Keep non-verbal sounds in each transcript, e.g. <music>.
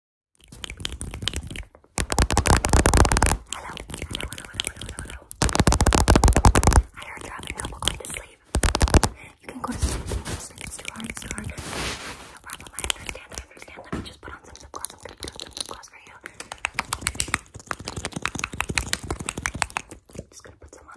hello, I heard they're having trouble going to sleep. You can go to sleep. It's too hard. It's too hard. No problem. I understand. I understand. Let me just put on some lip gloss. I'm gonna put some lip gloss for you. I'm just gonna put some on.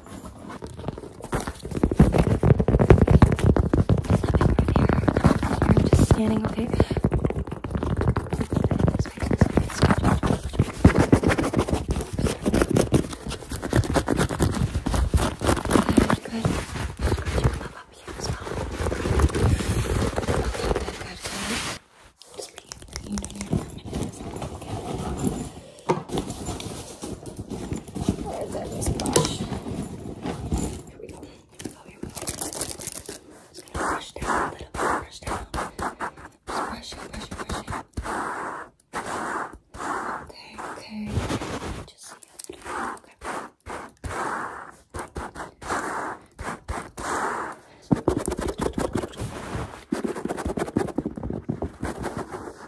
I'm just scanning, okay? Good, good. Scratch your love up here as well. Okay, good, good, good. Just breathe. You know your minute is okay. Where is that splash? Here we go. Oh, here we go. Just gonna brush down a little bit. Brush down. Just brushing, brushing, brushing. Okay, okay. Just see it. Okay. Okay,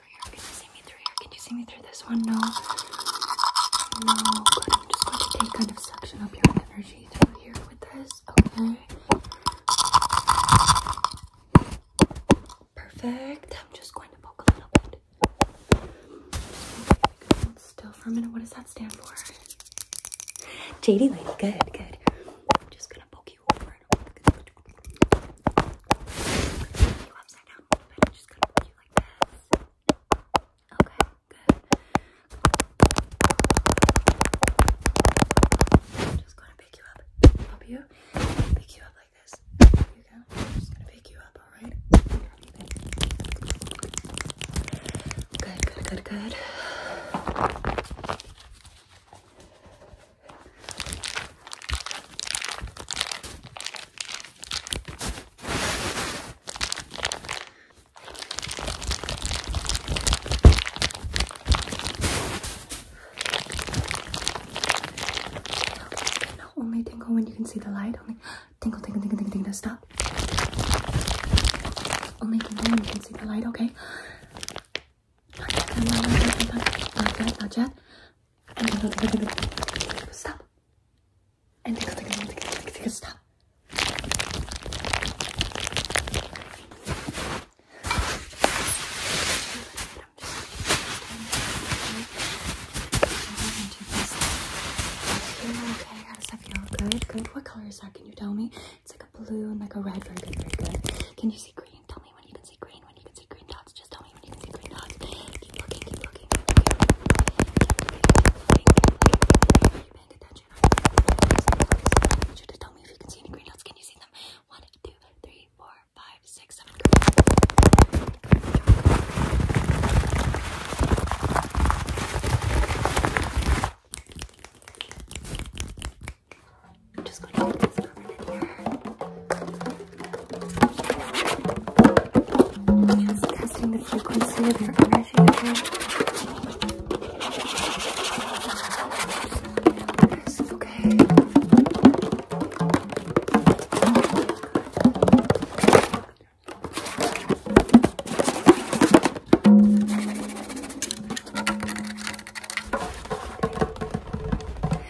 Can you see me through here? Can you see me through this one? No. No. I'm just going to take kind of suction up your energy through here with this. Okay. Perfect. I'm just going to poke a little bit. Hold still for a minute. What does that stand for? JD lady. Good. Good. I'm just gonna poke you over Good. Good upside down a little bit. I'm just gonna put you like this. Okay, good. I'm just gonna pick you up. Help you? Pick you up like this. There you go. I'm just gonna pick you up, alright? Good, good, good, good. Now only tinkle when you can see the light. Only tinkle, tinkle, tinkle, tinkle, tinkle. Stop. Only tinkle when you can see the light. Okay. Not yet. Not yet. Not yet. Not yet. Stop. And tickle, tickle, tickle, tickle, tickle, stop. Okay, how does that feel? Good, good. What color is that? Can you tell me? It's like a blue and like a red. Very good, very good. Can you see green? Tell me when you can see green. When you can see green dots. Just tell me when you can see green dots. Keep looking. Keep looking. you paying attention? I want you to tell me if you can see any green dots. Can you see them? One, two, six, seven. I'm just going to put this permanent here. Just testing the frequency of your energy again. It's okay.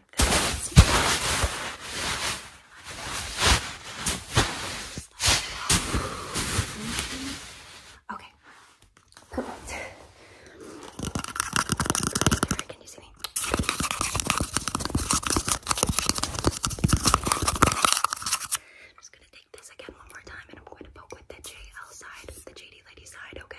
Okay. Perfect. Right, can you see me? I'm just gonna take this again one more time and I'm going to poke with the JL side, the JD lady side, okay?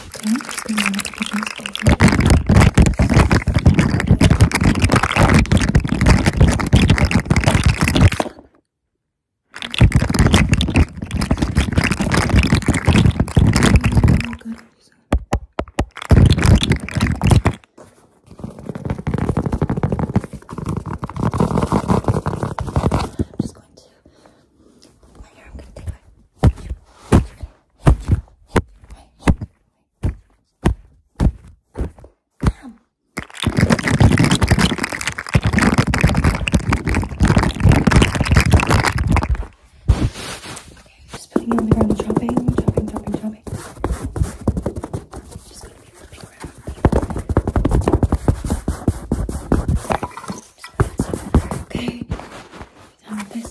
Okay, just bring the kitchen I'm just going to. Right here, I'm going to take my. Come. Okay, just putting it on the ground, chopping, chopping, chopping, chopping. Just gonna be flipping around. Okay. Down this.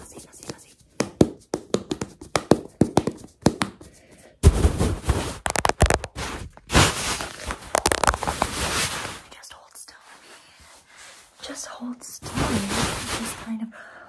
Así, así, así. Just hold still. Just hold still. Just kind of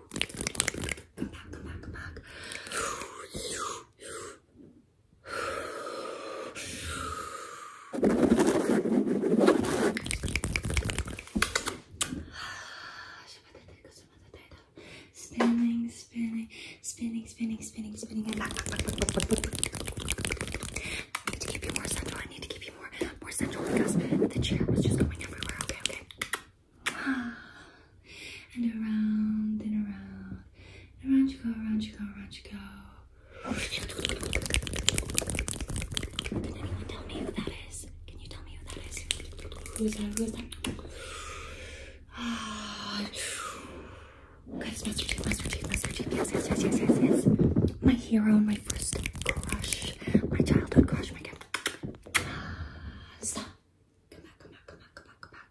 Come back, come back, come back. Spinning, spinning, spinning, spinning, spinning, spinning, I need to give you more central. I need to give you more, more central because the chair was just going everywhere. Okay, okay. <sighs> and around and around. And around you go, around you go, around you go. Can anyone tell me who that is? Can you tell me who that is? Who's that? Who's that? Ah, <sighs> guys, Master Chief, Master Chief, Master Chief. Yes, yes, yes, yes, yes, yes. My hero, my first crush, my childhood crush, my god. Stop. Come back, come back, come back, come back,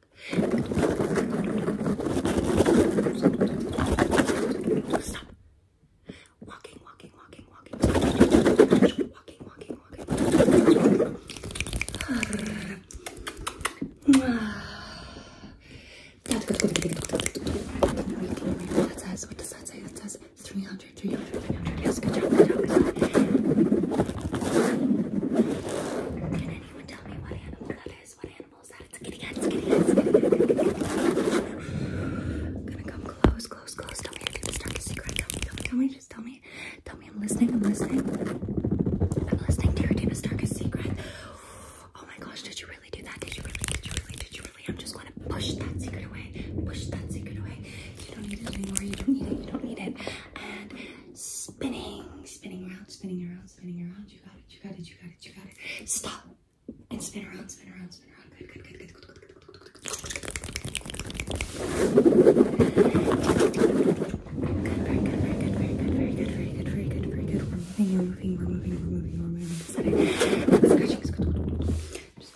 come back. Stop. Walking, walking, walking, walking. Walking, walking, walking. what does that say? 300, 300, 300. Yes, good job, good job. Can anyone tell me what animal that is? What animal is that? It's a kitty it's a kitty gonna come close, close, close. Tell me I keep Tell me, tell me, tell me, just tell me. Tell me I'm listening, I'm listening. I'm listening to your deepest, darkest secret. Oh my gosh, did you really do that? Did you really, did you really, did you really? I'm just gonna push that secret away. Push that secret away. You don't need it anymore. You don't need it. You don't need it. And spinning, spinning around, spinning around, spinning around. You got it. You got it. You got it. You got it. Stop. And spin around, spin around, spin around. Good, good, good, good, good, good, good, good, good. Very good, very good, very good, very good, very good, very good, very good. We're moving, we're moving, we're moving, we're moving, we're moving. Scratching, scratching. Just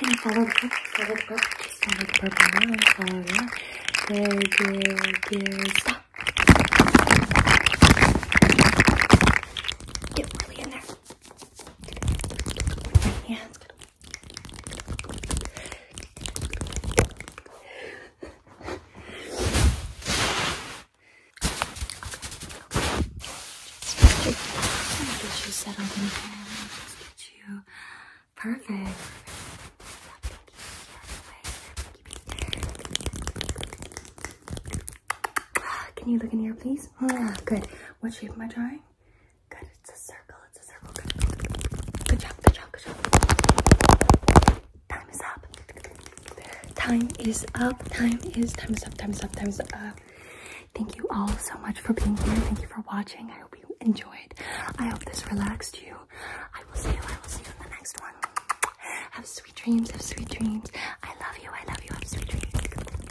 Okay, follow the purple, follow the purple, just follow the purple Get really in there. Yeah, Okay. Get you settled in here. Just get you perfect. Can you look in here, please? Ah, good. What shape am I drawing? Good. It's a circle. It's a circle. Good job. Good job. Good job. Time is up. Time is up. Time is time is up. Time is up. Thank you all so much for being here. Thank you for watching. I hope you enjoyed. I hope this relaxed you. I will see you. I will see you in the next one. Have sweet dreams. Have sweet dreams. I love you. I love you. Have sweet dreams.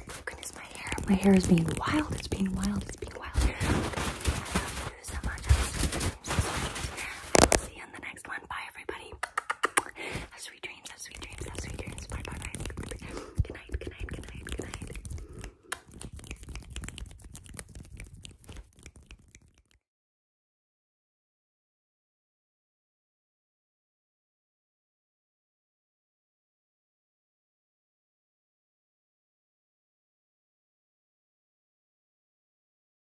Oh, goodness, my hair. My hair is being wild. It's being wild. It's being wild. I you so much. see you in the next one on. Bye, everybody. sweet dreams. Have sweet dreams. sweet dreams. Bye, bye, bye. Good night. Good night. Good night. Good night.